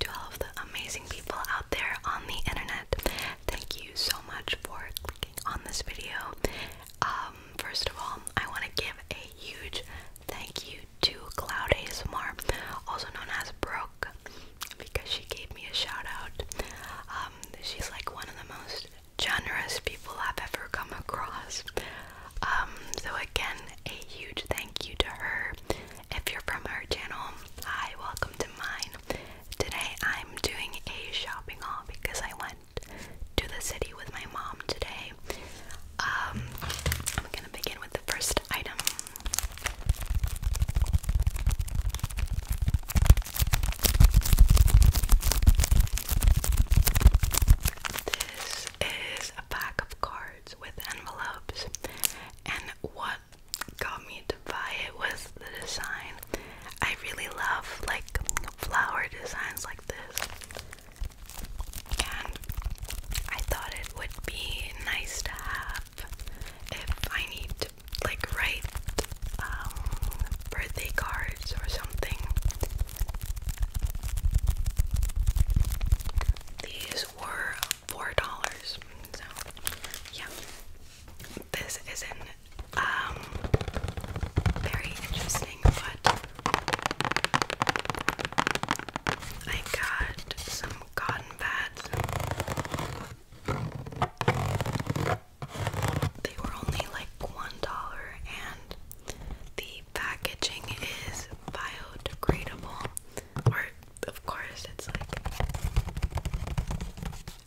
To all the amazing people out there on the internet, thank you so much for clicking on this video. first of all, I want to give a huge thank you to Cloud ASMR, also known as Brooke, because she gave me a shout out. she's like one of the most generous people I've ever come across. Um, so again, a huge thank you to her. If you're from her channel, hi, welcome to mine. Today I'm doing a shopping haul because I went to the city with my mom today. Um, I'm gonna begin with the first item. This is a pack of cards with envelopes, and what got me to buy it was the design. I really love like flower designs like this, and I thought it would be nice to have if I need to like write um, birthday cards or something. These were four dollars. So yeah. This isn't um very interesting, but I got some cotton pads. They were only like one dollar and the packaging is biodegradable, or of course, it's like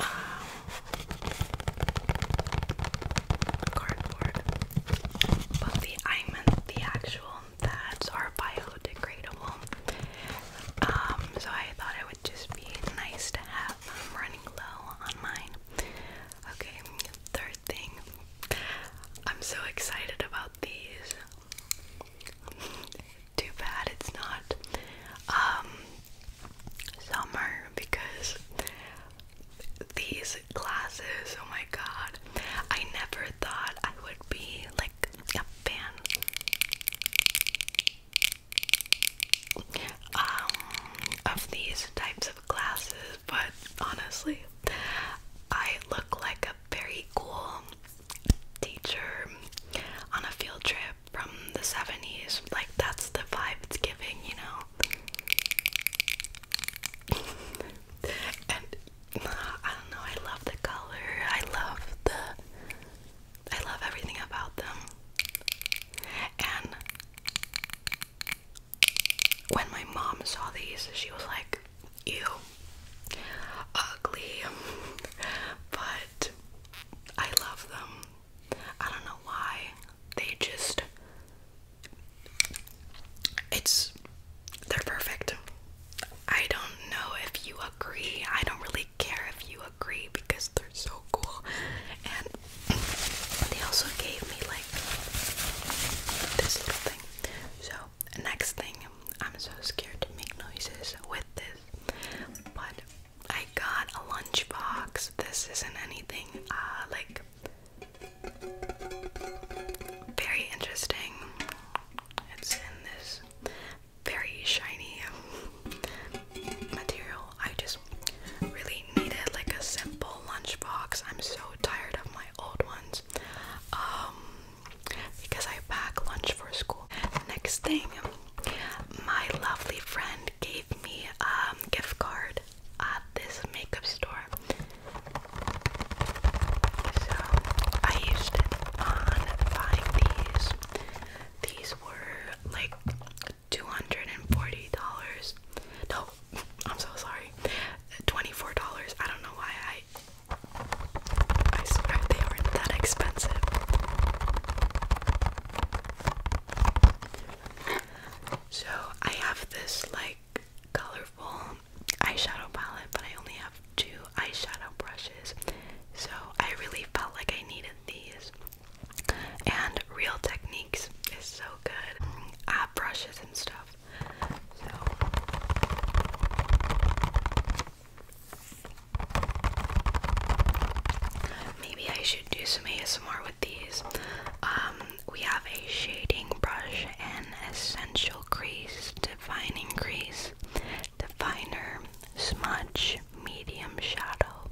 um, cardboard, but the I the actual pads are biodegradable. Um, so I thought it would just be nice to have. i running low on mine. Okay, third thing I'm so excited about these. Too bad it's not um, summer because these glasses, oh my god. I never thought I would be like a fan um, of these types of glasses but honestly, I look like a very cool teacher on a field trip from the 70s. Like, that's the vibe it's giving, you know? and I don't know, I love the color, I love the. I love everything about them. And when my mom saw these, she was like, ew, ugly, but I love them. I don't know why. They just, it's, they're perfect. I don't know if you agree. I don't really care if you agree because they're so cool. And they also gave me like, this little thing. So next thing, I'm so scared to make noises with this, but I got a lunchbox. This isn't anything uh, like very interesting. It's in this very shiny material. I just really I needed like a simple lunch box. I'm so tired of my old ones. Um, because I pack lunch for school. Next thing, my lovely friend gave me a um, gift card at this makeup store. So I used it on buying these. These were like $240. No, I'm so sorry. $24. I don't know why I I swear they weren't that expensive. So I have this like colorful eyeshadow palette, but I only have two eyeshadow brushes. So I really felt like I needed these. And Real Techniques is so good. App and stuff. So maybe I should do some ASMR with these. Um, we have a shading brush and essential crease, defining crease, definer, smudge, medium shadow,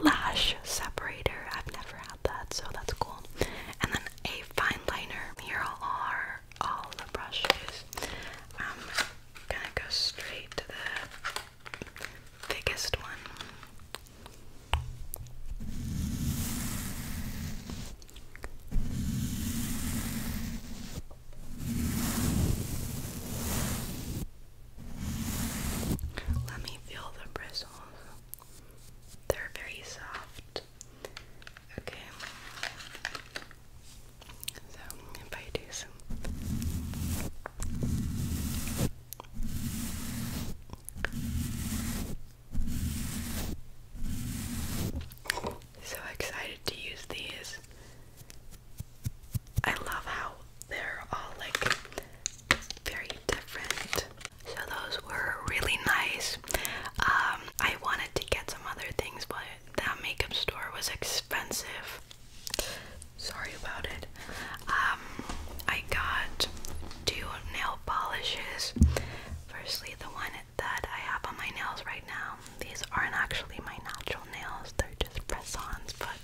lash separator. I've never had had that, so that's cool. And then a fine liner. Here are all the brushes. I'm um, gonna go straight to the thickest one. Let me feel the bristles. They're very soft. Okay. So, if I do some so excited to use these. I love how they're all like very different. So those were really nice. Um, I wanted to get some other things, but that makeup store was expensive. Sorry about it. Um, I got two nail polishes. Firstly, the one that I have on my nails right now. These aren't actually my natural nails, they're just press ons, but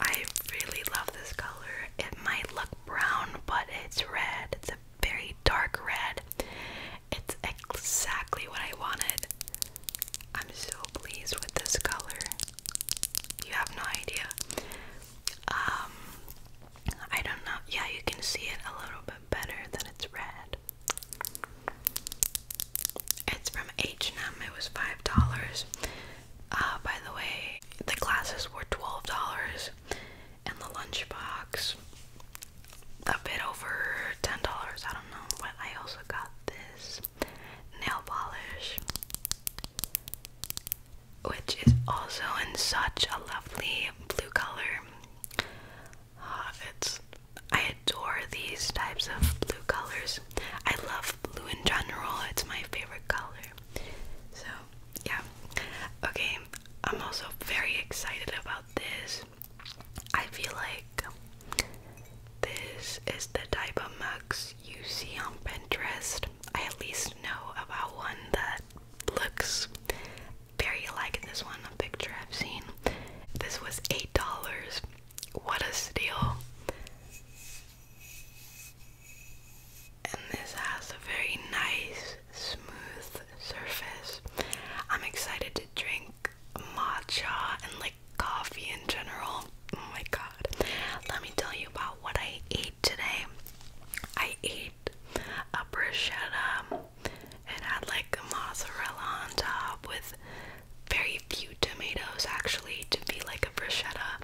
I really love this color. It might look brown, but it's red. It's a very dark red. It's exactly what I wanted. I'm so pleased with this color. You have no idea. Um, I don't know. Yeah, you can see it a little bit better than it's red. It's from H&M. It was $5. Uh, by the way, the glasses were twelve dollars, and the lunchbox a bit over ten dollars. I don't know, but I also got this nail polish, which is also in such a lovely blue color. Uh, it's I adore these types of blue colors. I love blue in general. It's my favorite color. So, yeah. Okay, I'm also very excited about this. I feel like this is the type of mugs you see on Pinterest. I at least know about one that looks very like this one, a picture I've seen. This was $8. What a steal! And this has a very nice, smooth surface. I'm excited to drink matcha and like coffee in general. Oh my god. Let me tell you about what I ate today. I ate a bruschetta. It had like a mozzarella on top with very few tomatoes actually to be like a bruschetta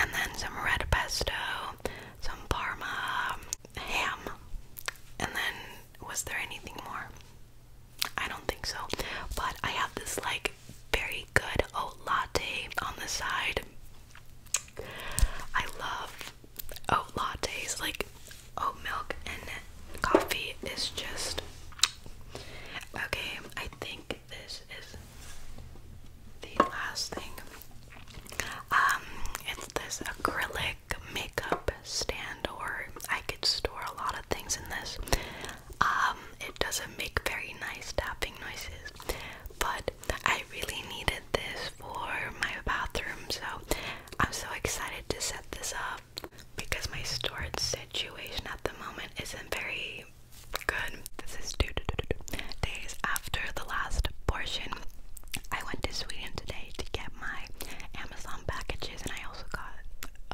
and then some red pesto, some parma, ham, and then was there anything more? I don't think so, but I have this like very good oat latte on the side. I love oat lattes, like oat milk and coffee is just okay. I think this is the last thing. Um, it's this acrylic makeup stand, or I could store a lot of things in this. Um, it doesn't make very nice tapping noises, but I really needed this for my bathroom, so I'm so excited to set this up because my storage situation at the moment isn't very good. This is two days after the last portion. I went to Sweden today to get my Amazon packages, and I also got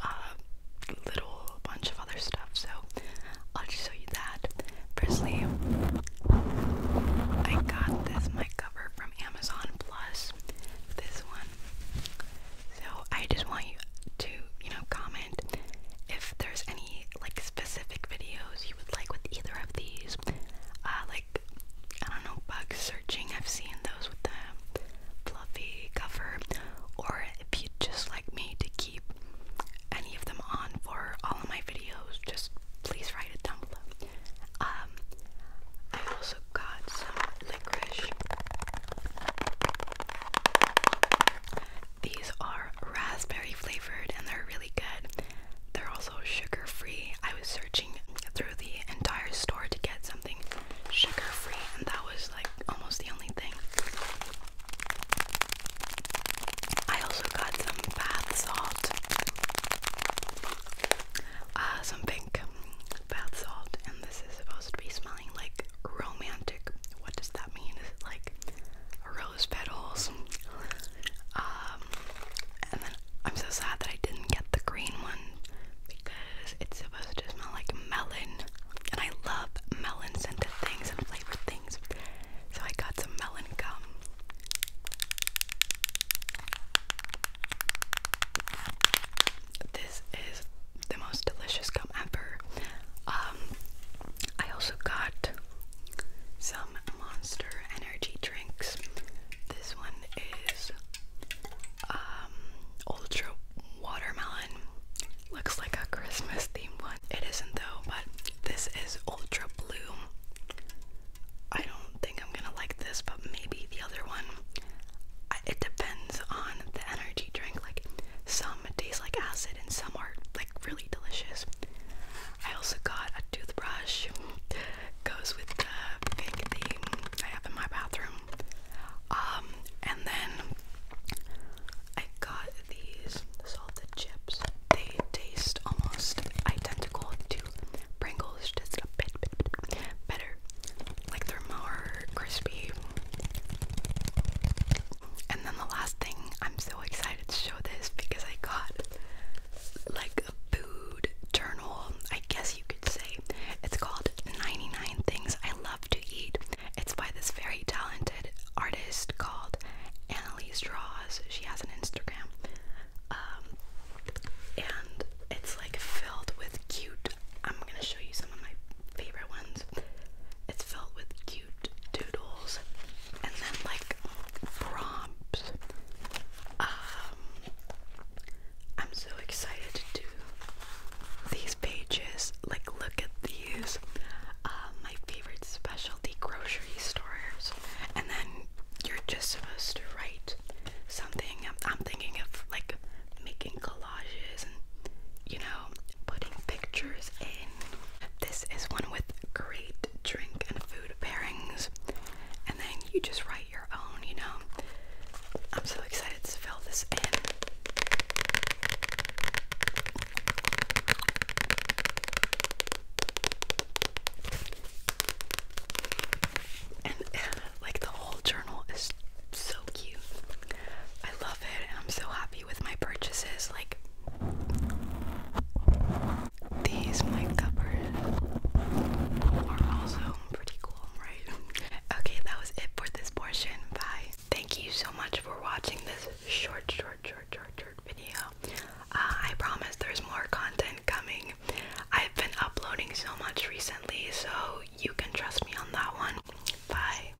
a little bunch of other stuff. So I'll just show you that. Firstly, I got this mic cover from Amazon Plus. This one. So I just want you to, you know, comment if there's any like specific videos you would like with either of these. Uh, like I don't know, bug searching. I've seen those with the fluffy cover. Or if you'd just like me to keep any of them on for all of my videos, just please write it down below. Um, I also got some licorice. These are raspberry flavored and they're really good. They're also sugar free. I was searching through the entire store to get something sugar free, and that was like almost the only thing. I also got some bath salt, uh, some pink bath salt, and this is supposed to be smelly like romantic. What does that mean? like rose petals? Um, and then I'm so sad that I didn't get the green one because it's supposed to smell like melon, and I love melon scented things and flavored things. So I got some melon gum. This is the most delicious gum ever. Um, I also got some Monster Energy drinks. This one is um, Ultra Watermelon. Looks like a Christmas theme one. It isn't though, but this is Ultra Blue. I don't think I'm gonna like this, but maybe the other one. it depends on the energy drink. Like some tastes like acid and some are like really delicious. I also got a toothbrush. Goes with the big theme I have in my bathroom. Um, and then I got these salted chips. They taste almost identical to Pringles, just a bit better. Like they're more crispy. And then the last thing, I'm so excited to show this because I got like a food journal, I guess you could say. It's called 99 Things I Love to Eat. It's by this very talented artist called Annalise Draws. She has an Instagram. Um, and it's like filled with cute. I'm gonna show you some of my favorite ones. It's filled with cute doodles and then like prompts. Um, I'm so excited to do these pages. Like, look at these. Uh, my favorite specialty grocery stores. And then you're just supposed to write something. I'm thinking of like making collages and you know, putting pictures in. This is one with great drink and food pairings. And then you just write your own, you know. I'm so excited to fill this in. And uh, like the whole journal is so cute. I love love it and I'm so happy with my purchases. Like these mic covers are also pretty cool, right? Okay, that was it for this portion. Bye. Thank you so much for watching this short, short, short, short, short video. Uh, I promise there's more content coming. I've been uploading so much recently, so you can trust me on that one. Bye.